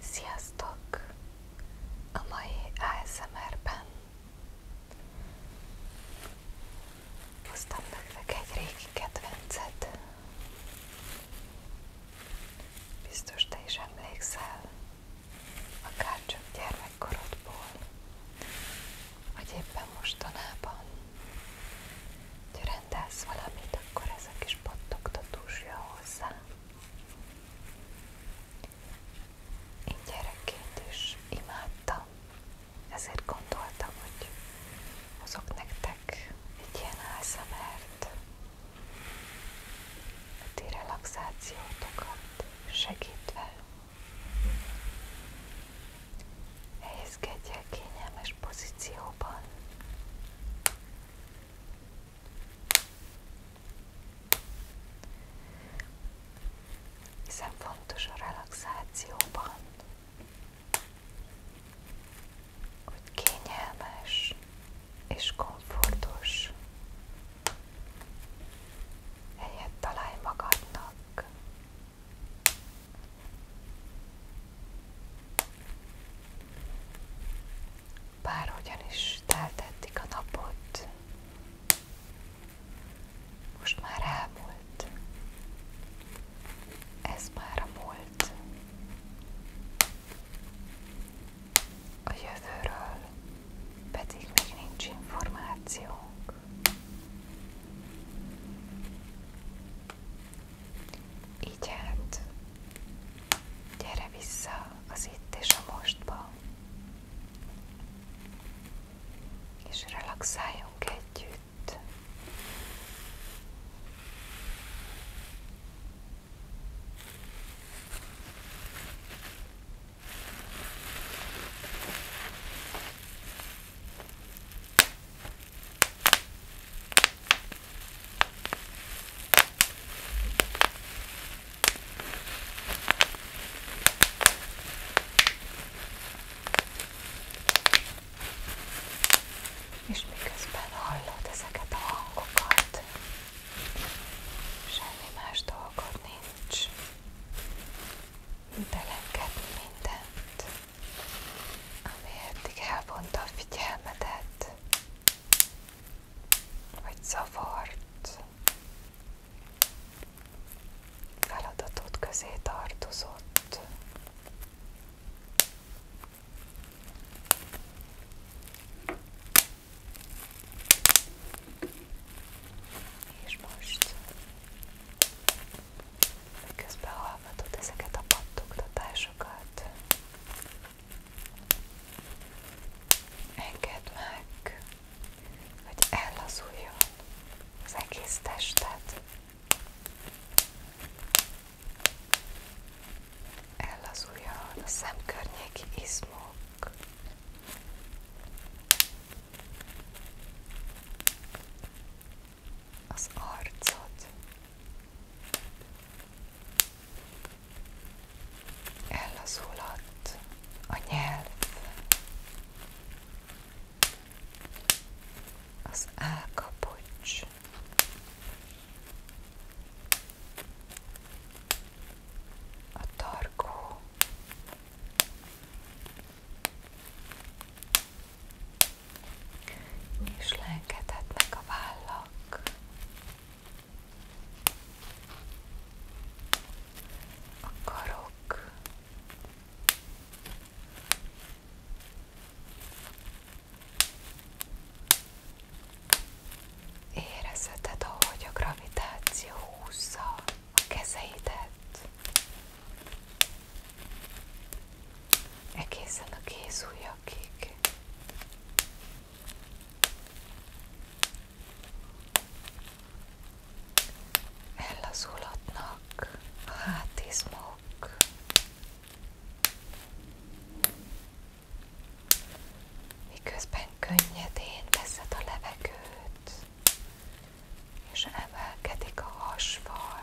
Sziasztok! A mai ASMR-ben hoztam nektek egy régi kedvencet. Biztos te is emlékszel, akár csak gyermekkorodból, vagy éppen mostanában. Ha rendelsz valamit, akkor ez a kis pattogtatós jön hozzá. Én gyerekként is imádtam, ezért gondoltam, hogy hozok nektek egy ilyen ASMR-t, a ti relaxációtokat segítve. Helyezkedj el kényelmes pozícióban. Hiszen fontos a relaxációban, hogy kényelmes és komfortos helyet találj magadnak. Bárhogyan is teltettik a napot, most már elmúlt, ez már a múlt. A jövőről pedig még nincs információnk. Így hát, gyere vissza az itt és a mostba, és relaxáljunk együtt. És miközben hallod ezeket a hangokat, semmi más dolgod nincs, belengedni mindent ami eddig elvonta a figyelmedet, vagy zavart, feladatod közé tartozott. És most Közben hallgatod ezeket a pattogtatásokat. Engedd meg, hogy ellazuljon az egész tested. Ellazuljon a szemkörnyéki izmok az arcod ellazulhat a nyelv az álkapocs a tarkó és lengedhetnek a vállak. A karok, érezheted, ahogy a gravitáció húzza a kezeidet, egészen a kéz ujjakig. Ellazulhatnak a hátizmok. Miközben könnyedén veszed a levegőt, és emelkedik a hasfal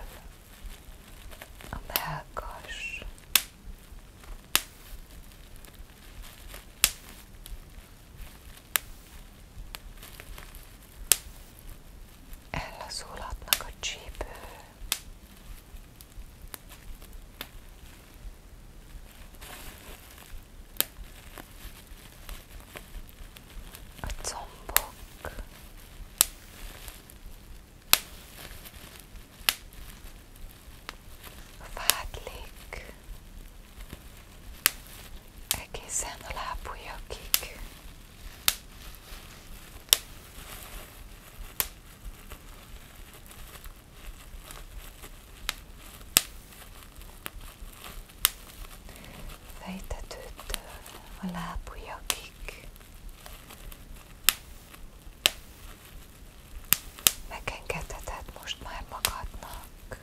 a melkas, ellazulhatnak a csípő, a combok, Vádlik. Egészen a lábujjakig. Fejtetőtől uh, a lábujjakig. megengedheted most már magadnak,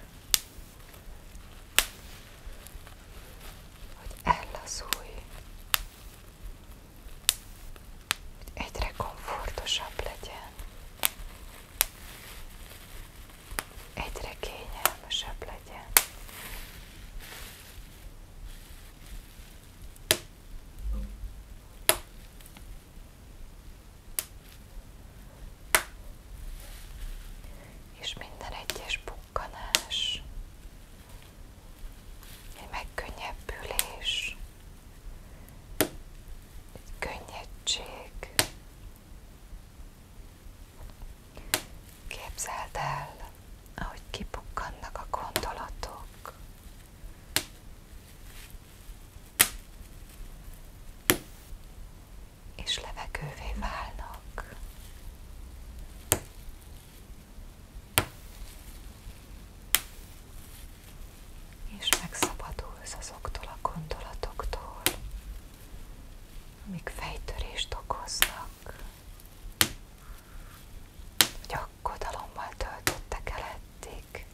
hogy ellazulj, hogy egyre komfortosabb legyen, egyre kényelmesebb legyen. És minden egyes bukkanás, egy megkönnyebbülés, egy könnyedtség, Képzeld el, ahogy kipukkannak a gondolatok. És levegővé válnak. És megszabadulsz azoktól a gondolatoktól, amik fejtörést okoznak hogy aggodalommal töltöttek el eddig.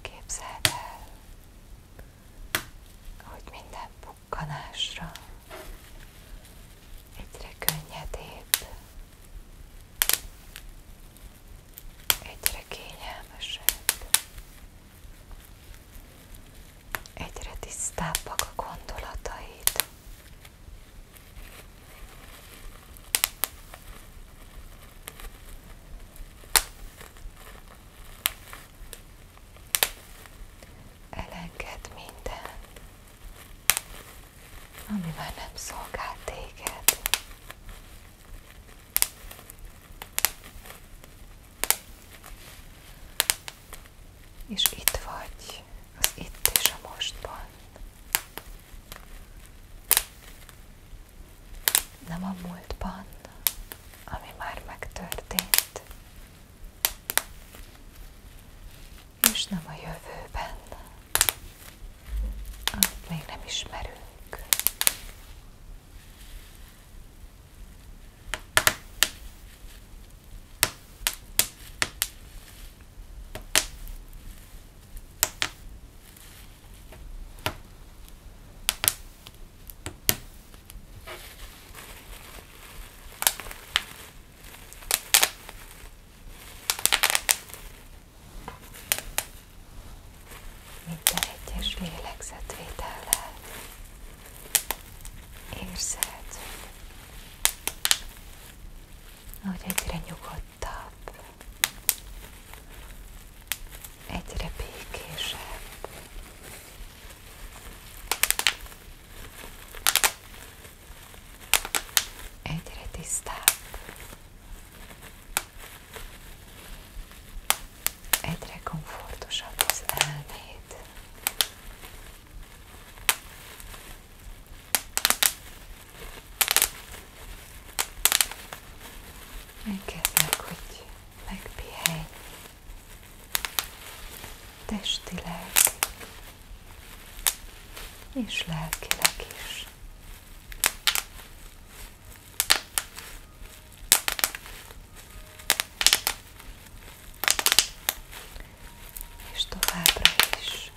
Képzeld el, hogy minden bukkanásra egyre könnyedébb egyre kényelmesebb, egyre tisztábbak a gondolataid. Elenged minden, ami már nem szolgál téged. És itt vagy, az itt és a mostban. Nem a múltban, ami már megtörtént, és nem a jövőben, azt még nem ismerünk. Minden egyes lélegzetvétellel érzed, ahogy egyre nyugodtabb, egyre békésebb, egyre tisztább. Egyre komfortosabb az elméd. Engedd hogy megpihenj testileg és lelkileg is. És továbbra is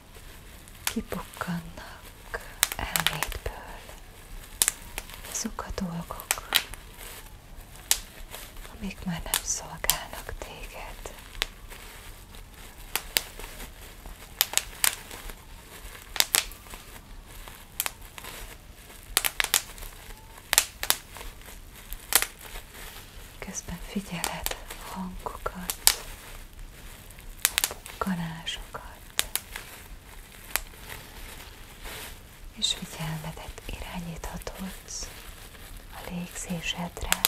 kipukkannak elmédből azok a dolgok, amik már nem szolgálnak téged. Közben figyeled a hangokat, a bukkanásokat, és figyelmedet irányíthatod a légzésedre,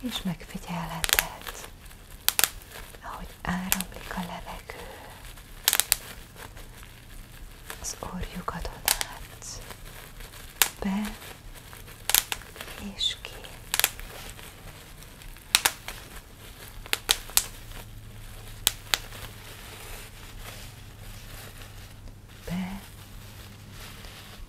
és megfigyelheted, ahogy áramlik a levegő az orjukadon át, be és ki. Be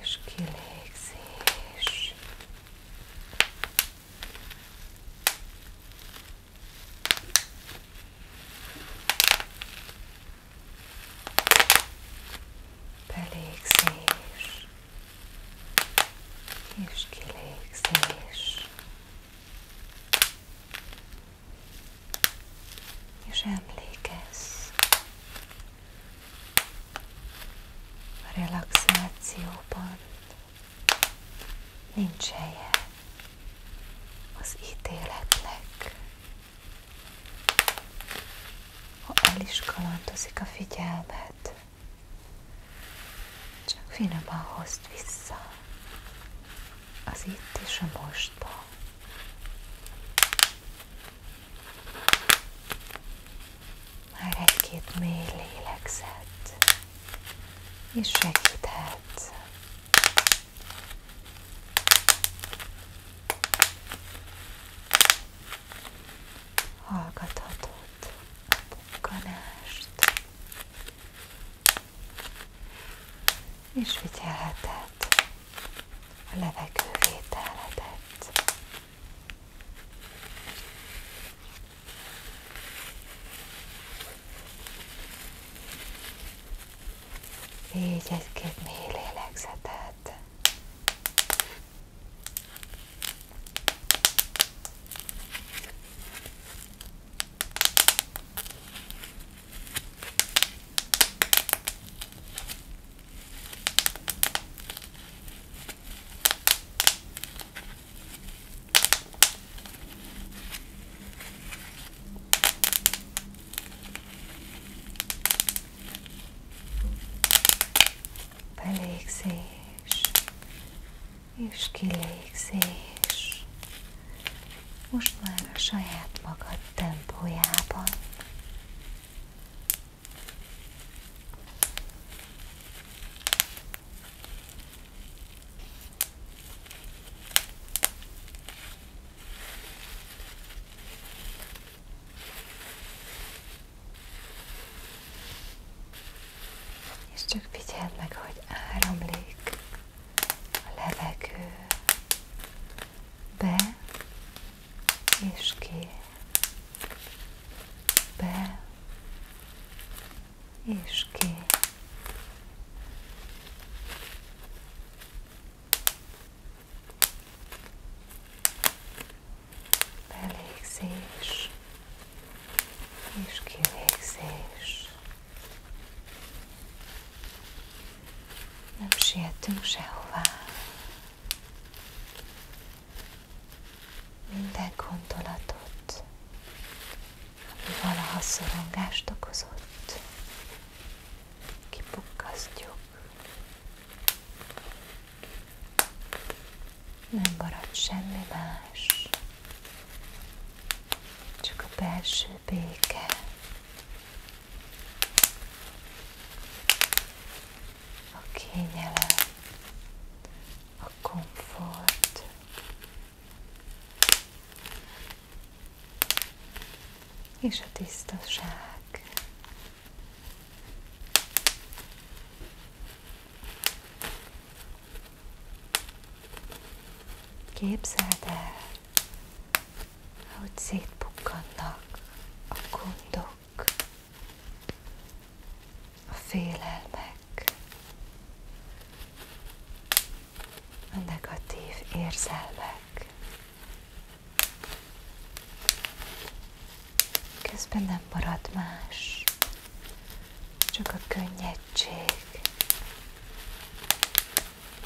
és kilégzés. Belégzés és kilégzés. És emlékezz, a relaxációban nincs helye az ítéletnek. Ha el is kalandozik a figyelmet, csak finoman hozd vissza az itt és a mostba. Már egy-két mély lélegzet, és segíthet. Hallgathatod a bukkanást, és figyelheted a levegővételedet. Így egy-két mély lélegzetet. Belégzés és kilégzés. Most már a saját magad tempójában. És csak figyeld meg, hogy áramlik a levegő be és ki, be, és ki. Belégzés és kivégzés. Nem sietünk sehová. Minden gondolatot, ami valaha szorongást okozott, kipukkasztjuk. Nem marad semmi más, csak a belső béke, a kényelem, a komfort, és a tisztaság. Képzeld el, ahogy szétpukkannak a gondok, a félelmek, a negatív érzelmek. Közben nem marad más, csak a könnyedség,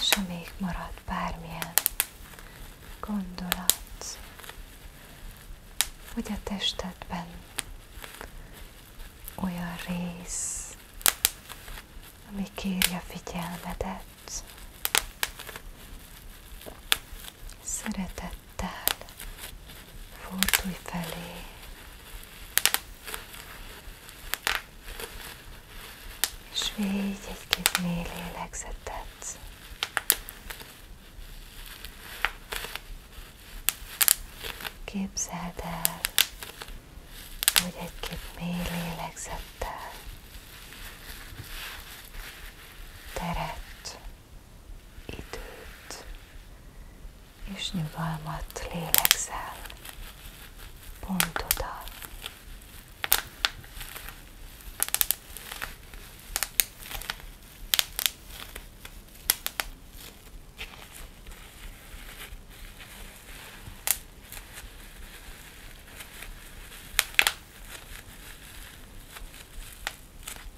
És ha még marad bármilyen gondolat, hogy a testedben olyan rész, ami kérje figyelmedet, szeretet Tál, fordulj felé. És végy egy-két mély lélegzetet. Képzeld el, hogy egy-két mély lélegzettel teret, időt és nyugalmat lélegzel pont oda.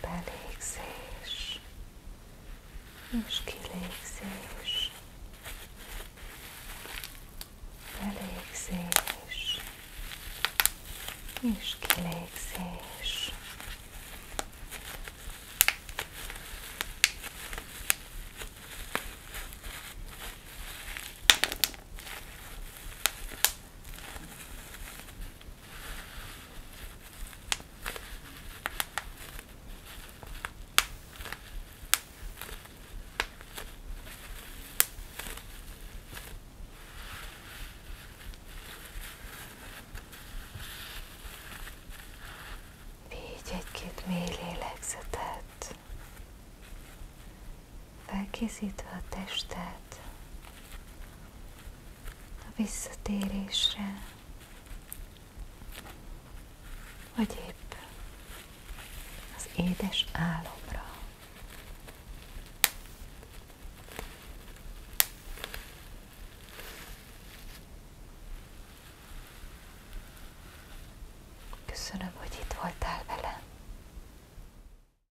belégzés és kilégzés, belégzés és kilégzés. Így egy-két mély lélegzetet felkészítve a testet a visszatérésre, vagy épp az édes álomra. Köszönöm, hogy itt voltál velem.